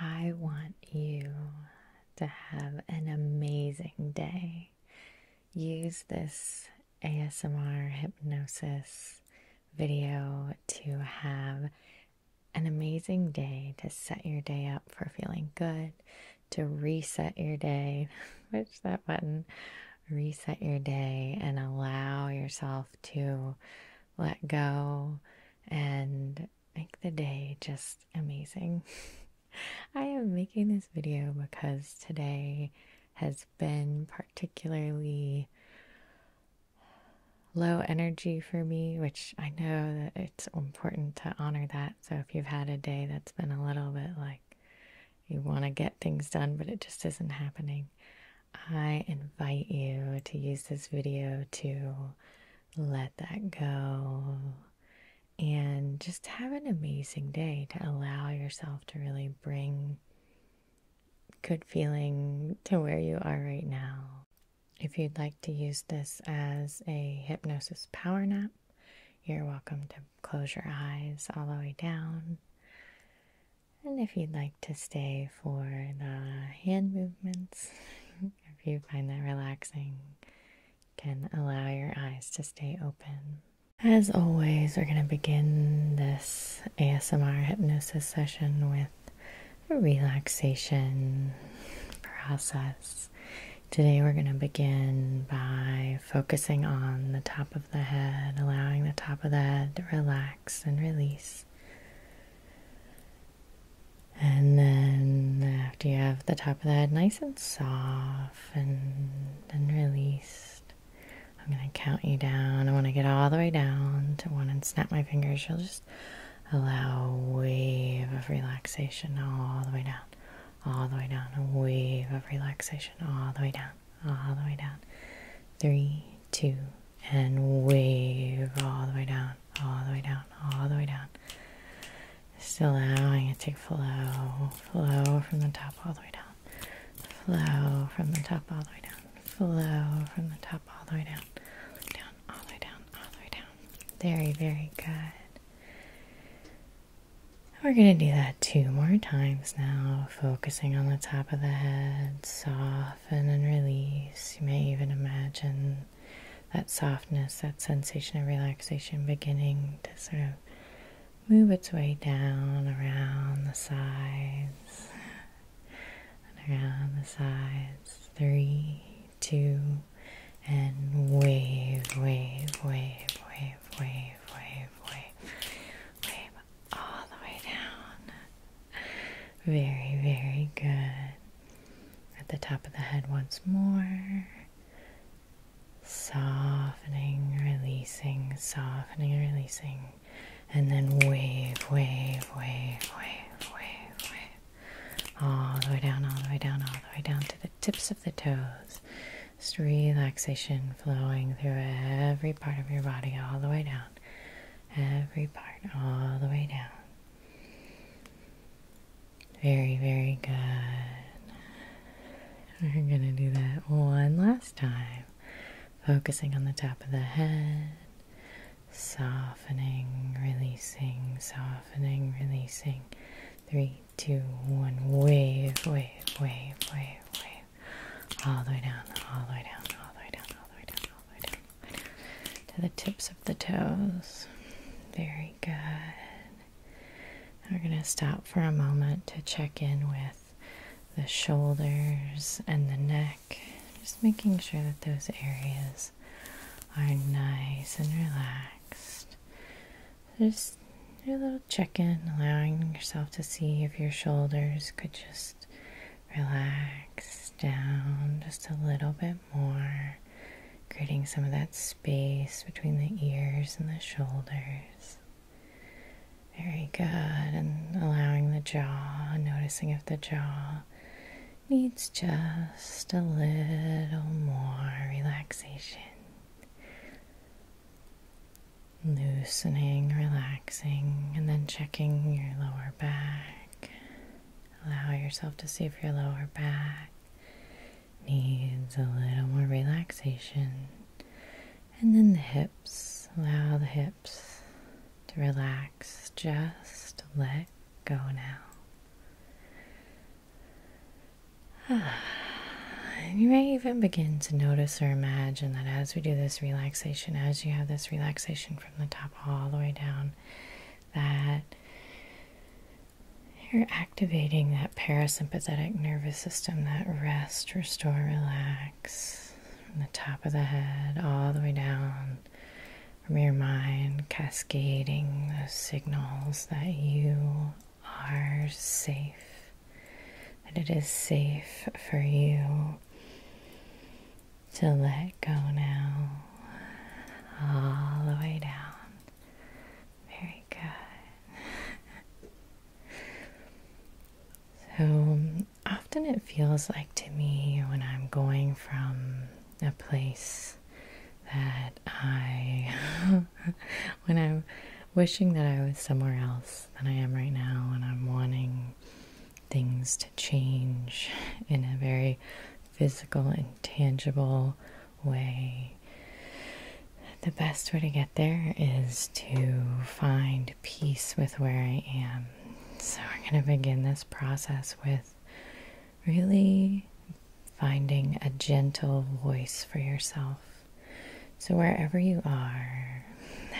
I want you to have an amazing day. Use this ASMR hypnosis video to have an amazing day, to set your day up for feeling good, to reset your day. Push that button, reset your day, and allow yourself to let go and make the day just amazing. I am making this video because today has been particularly low energy for me, which I know that it's important to honor that. So if you've had a day that's been a little bit like you want to get things done, but it just isn't happening, I invite you to use this video to let that go, and just have an amazing day to allow yourself to really bring good feeling to where you are right now. If you'd like to use this as a hypnosis power nap, you're welcome to close your eyes all the way down. And if you'd like to stay for the hand movements, if you find that relaxing, can allow your eyes to stay open. As always, we're going to begin this ASMR hypnosis session with a relaxation process. Today, we're going to begin by focusing on the top of the head, allowing the top of the head to relax and release. And then after you have the top of the head nice and soft and then released, I'm going to count you down. I want to get all the way down to one and snap my fingers. You'll just allow a wave of relaxation all the way down, all the way down, a wave of relaxation all the way down, all the way down. Three, two, and wave all the way down all the way down, all the way down. Still allowing it to flow, flow from the top all the way down, flow from the top all the way down, flow from the top all the way down, down, all the way down, all the way down. Very, very good. We're going to do that two more times now, focusing on the top of the head. Soften and release. You may even imagine that softness, that sensation of relaxation beginning to sort of move its way down around the sides and around the sides. Three, two, and wave, wave, wave, wave, wave, wave, wave, wave all the way down. Very, very good at the top of the head once more. Softening, releasing, softening, releasing, and then wave, wave, wave, wave, wave, wave. All the way down, all the way down, all the way down to the tips of the toes. Just relaxation flowing through every part of your body, all the way down. Every part, all the way down. Very, very good. We're going to do that one last time. Focusing on the top of the head, softening, releasing, softening, releasing. Three, two, one. Wave, wave, wave, wave, wave. All the way down, all the way down, all the way down, all the way down, all the way down to the tips of the toes. Very good. We're going to stop for a moment to check in with the shoulders and the neck, just making sure that those areas are nice and relaxed. Just a little check in, allowing yourself to see if your shoulders could just relax down just a little bit more, creating some of that space between the ears and the shoulders. Very good. And allowing the jaw, noticing if the jaw needs just a little more relaxation. Loosening, relaxing, and then checking your lower back. Allow yourself to see if your lower back needs a little more relaxation. And then the hips. Allow the hips to relax. Just let go now. And you may even begin to notice or imagine that as we do this relaxation, as you have this relaxation from the top all the way down, that you're activating that parasympathetic nervous system, that rest, restore, relax from the top of the head all the way down from your mind, cascading those signals that you are safe, that it is safe for you to let go now, all the way down. Very good. so often it feels like to me when I'm going from a place that I, when I'm wishing that I was somewhere else than I am right now, and I'm wanting things to change in a very physical and tangible way. The best way to get there is to find peace with where I am. So, we're going to begin this process with really finding a gentle voice for yourself. So, wherever you are,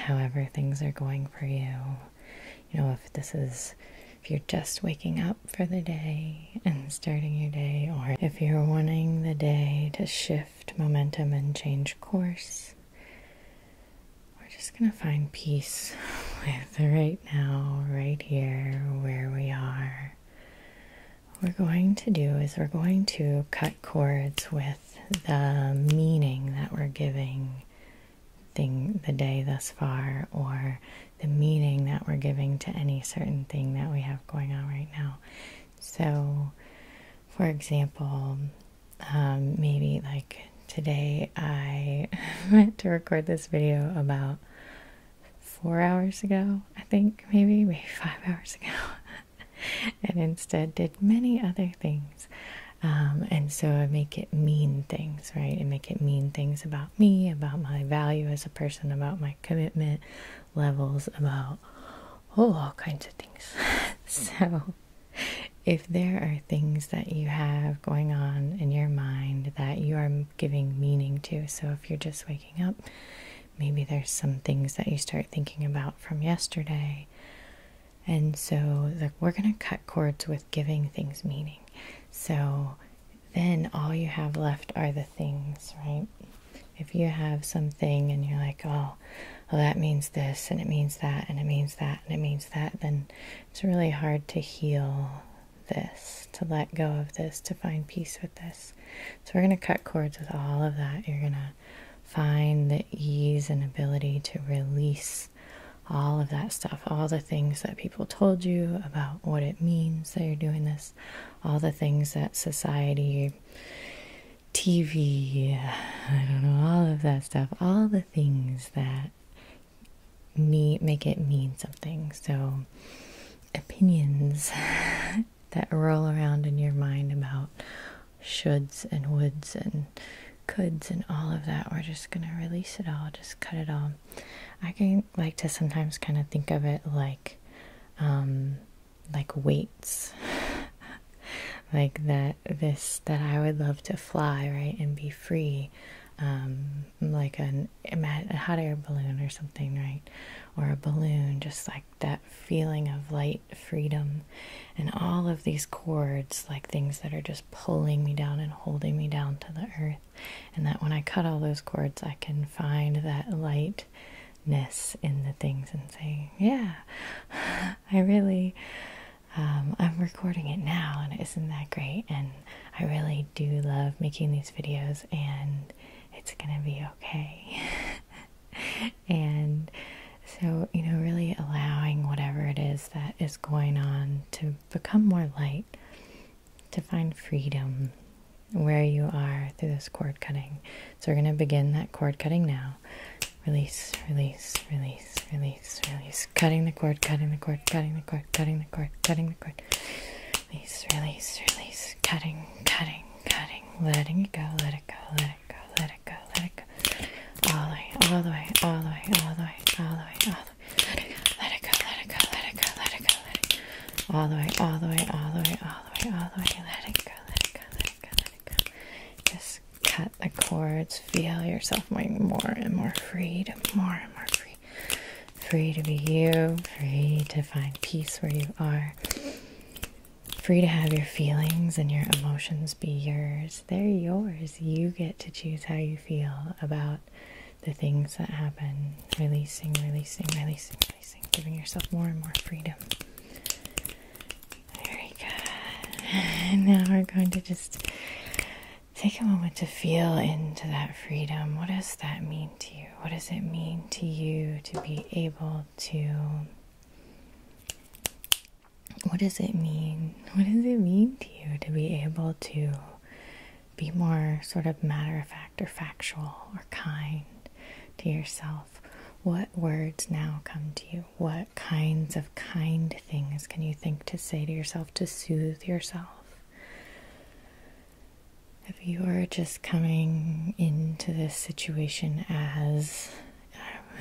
however things are going for you, you know, if this is if you're just waking up for the day and starting your day, or if you're wanting the day to shift momentum and change course, we're just going to find peace with right now, right here, where we are. What we're going to do is we're going to cut cords with the meaning that we're giving thing the day thus far or the meaning that we're giving to any certain thing that we have going on right now. So, for example, um, maybe like today I meant to record this video about four hours ago, I think, maybe, maybe five hours ago, and instead did many other things. Um, and so I make it mean things, right? And make it mean things about me, about my value as a person, about my commitment levels, about oh, all kinds of things. so, if there are things that you have going on in your mind that you are giving meaning to, so if you're just waking up, maybe there's some things that you start thinking about from yesterday. And so, like, we're going to cut cords with giving things meaning. So, then all you have left are the things, right? If you have something and you're like, oh, well, that means this, and it means that, and it means that, and it means that, then it's really hard to heal this, to let go of this, to find peace with this. So, we're going to cut cords with all of that. You're going to find the ease and ability to release all of that stuff, all the things that people told you about what it means that you're doing this, all the things that society, TV, I don't know, all of that stuff, all the things that me make it mean something. So opinions that roll around in your mind about shoulds and woulds and coulds and all of that. We're just gonna release it all, just cut it all. I can like to sometimes kind of think of it like um like weights like that this that I would love to fly right and be free um like a hot air balloon or something right or a balloon just like that feeling of light freedom and all of these cords like things that are just pulling me down and holding me down to the earth and that when I cut all those cords, I can find that lightness in the things and say, Yeah, I really, um, I'm recording it now, and isn't that great? And I really do love making these videos, and it's gonna be okay. and so, you know, really allowing whatever it is that is going on to become more light to find freedom where you are through this cord cutting. So we're going to begin that cord cutting now. Release, release, release, release, release. Cutting the cord, cutting the cord, cutting the cord, cutting the cord, cutting the cord. Release, release, release. Cutting, cutting, cutting. Letting it go, let it go, let it go, let it go, let it go. All the way, all the way, all the way, all the way, all the way, all the way let it go, let it go, let it go, let it go, let it go, let it go. All the way, all the way, all the way, all the way, all the way. Let it go, let it go, let it go, let it go. Just cut the cords. Feel yourself more and more freed, more and more free. Free to be you, free to find peace where you are. Free to have your feelings and your emotions be yours. They're yours. You get to choose how you feel about the things that happen, releasing, releasing, releasing, releasing, giving yourself more and more freedom. Very good. And now we're going to just take a moment to feel into that freedom. What does that mean to you? What does it mean to you to be able to? What does it mean? What does it mean to you to be able to be more sort of matter of fact or factual or kind to yourself. What words now come to you? What kinds of kind things can you think to say to yourself to soothe yourself? If you are just coming into this situation as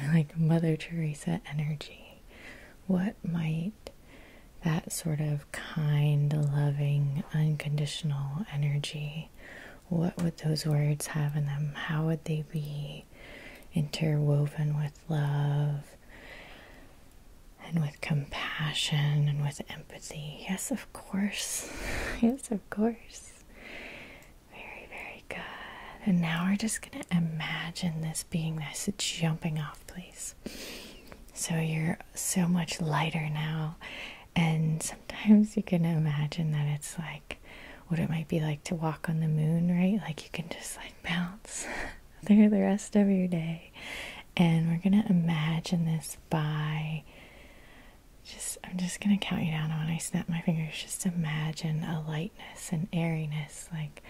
like Mother Teresa energy, what might that sort of kind, loving, unconditional energy, what would those words have in them? How would they be interwoven with love and with compassion and with empathy? Yes, of course. yes, of course. Very, very good. And now we're just going to imagine this being this jumping off please. So you're so much lighter now. And sometimes you can imagine that it's like what it might be like to walk on the moon, right? Like you can just like bounce through the rest of your day. And we're going to imagine this by just, I'm just going to count you down when I snap my fingers. Just imagine a lightness and airiness, like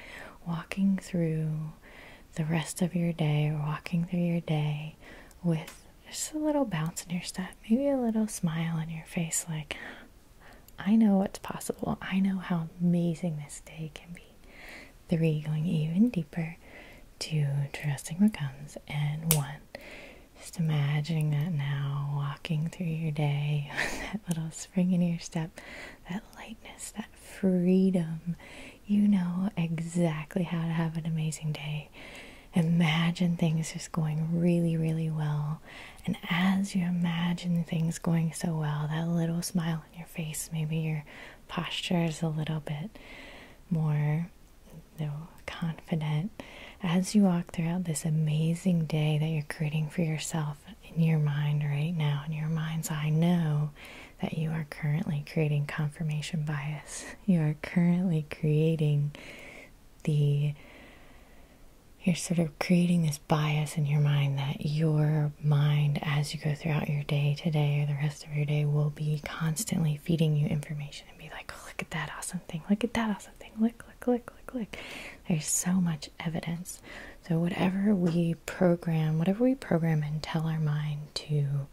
walking through the rest of your day walking through your day with just a little bounce in your step, maybe a little smile on your face, like, I know what's possible. I know how amazing this day can be. Three, going even deeper. Two, trusting the guns. And one, just imagining that now, walking through your day, that little spring in your step, that lightness, that freedom you know exactly how to have an amazing day. Imagine things just going really, really well. And as you imagine things going so well, that little smile on your face, maybe your posture is a little bit more confident. As you walk throughout this amazing day that you're creating for yourself in your mind right now, in your mind's eye, know that you are currently creating confirmation bias. You are currently creating the, you're sort of creating this bias in your mind that your mind, as you go throughout your day today or the rest of your day, will be constantly feeding you information and be like, oh, look at that awesome thing, look at that awesome thing, look, look, look, look, look. There's so much evidence. So, whatever we program, whatever we program and tell our mind to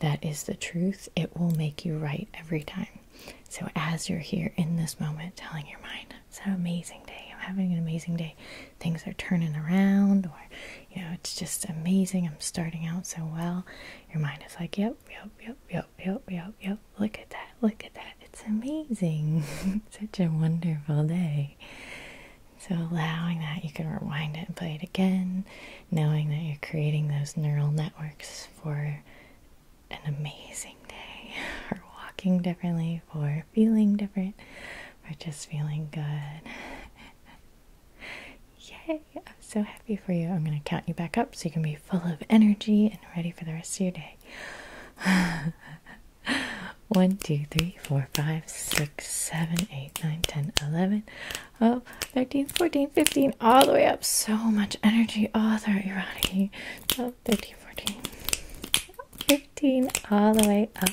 that is the truth, it will make you right every time. So, as you're here in this moment, telling your mind, it's an amazing day, I'm having an amazing day, things are turning around, or you know, it's just amazing, I'm starting out so well. Your mind is like, yep, yep, yep, yep, yep, yep, yep, look at that, look at that, it's amazing, such a wonderful day. So, allowing that, you can rewind it and play it again, knowing that you're creating those neural networks for an amazing day, for walking differently, for feeling different, for just feeling good. Yay! I'm so happy for you. I'm going to count you back up so you can be full of energy and ready for the rest of your day. One, two, three, four, five, six, seven, eight. 8, 9, 10, 11, 12, 13, 14, 15, all the way up. So much energy all throughout your body. 13, 14, 15, all the way up.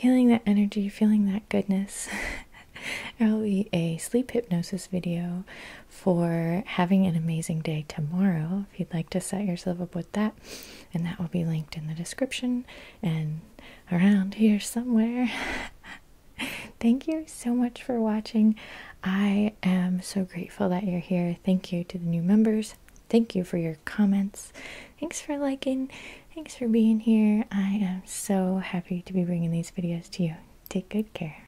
Feeling that energy, feeling that goodness. i will be a sleep hypnosis video for having an amazing day tomorrow if you'd like to set yourself up with that. And that will be linked in the description. And around here somewhere. Thank you so much for watching. I am so grateful that you're here. Thank you to the new members. Thank you for your comments. Thanks for liking. Thanks for being here. I am so happy to be bringing these videos to you. Take good care.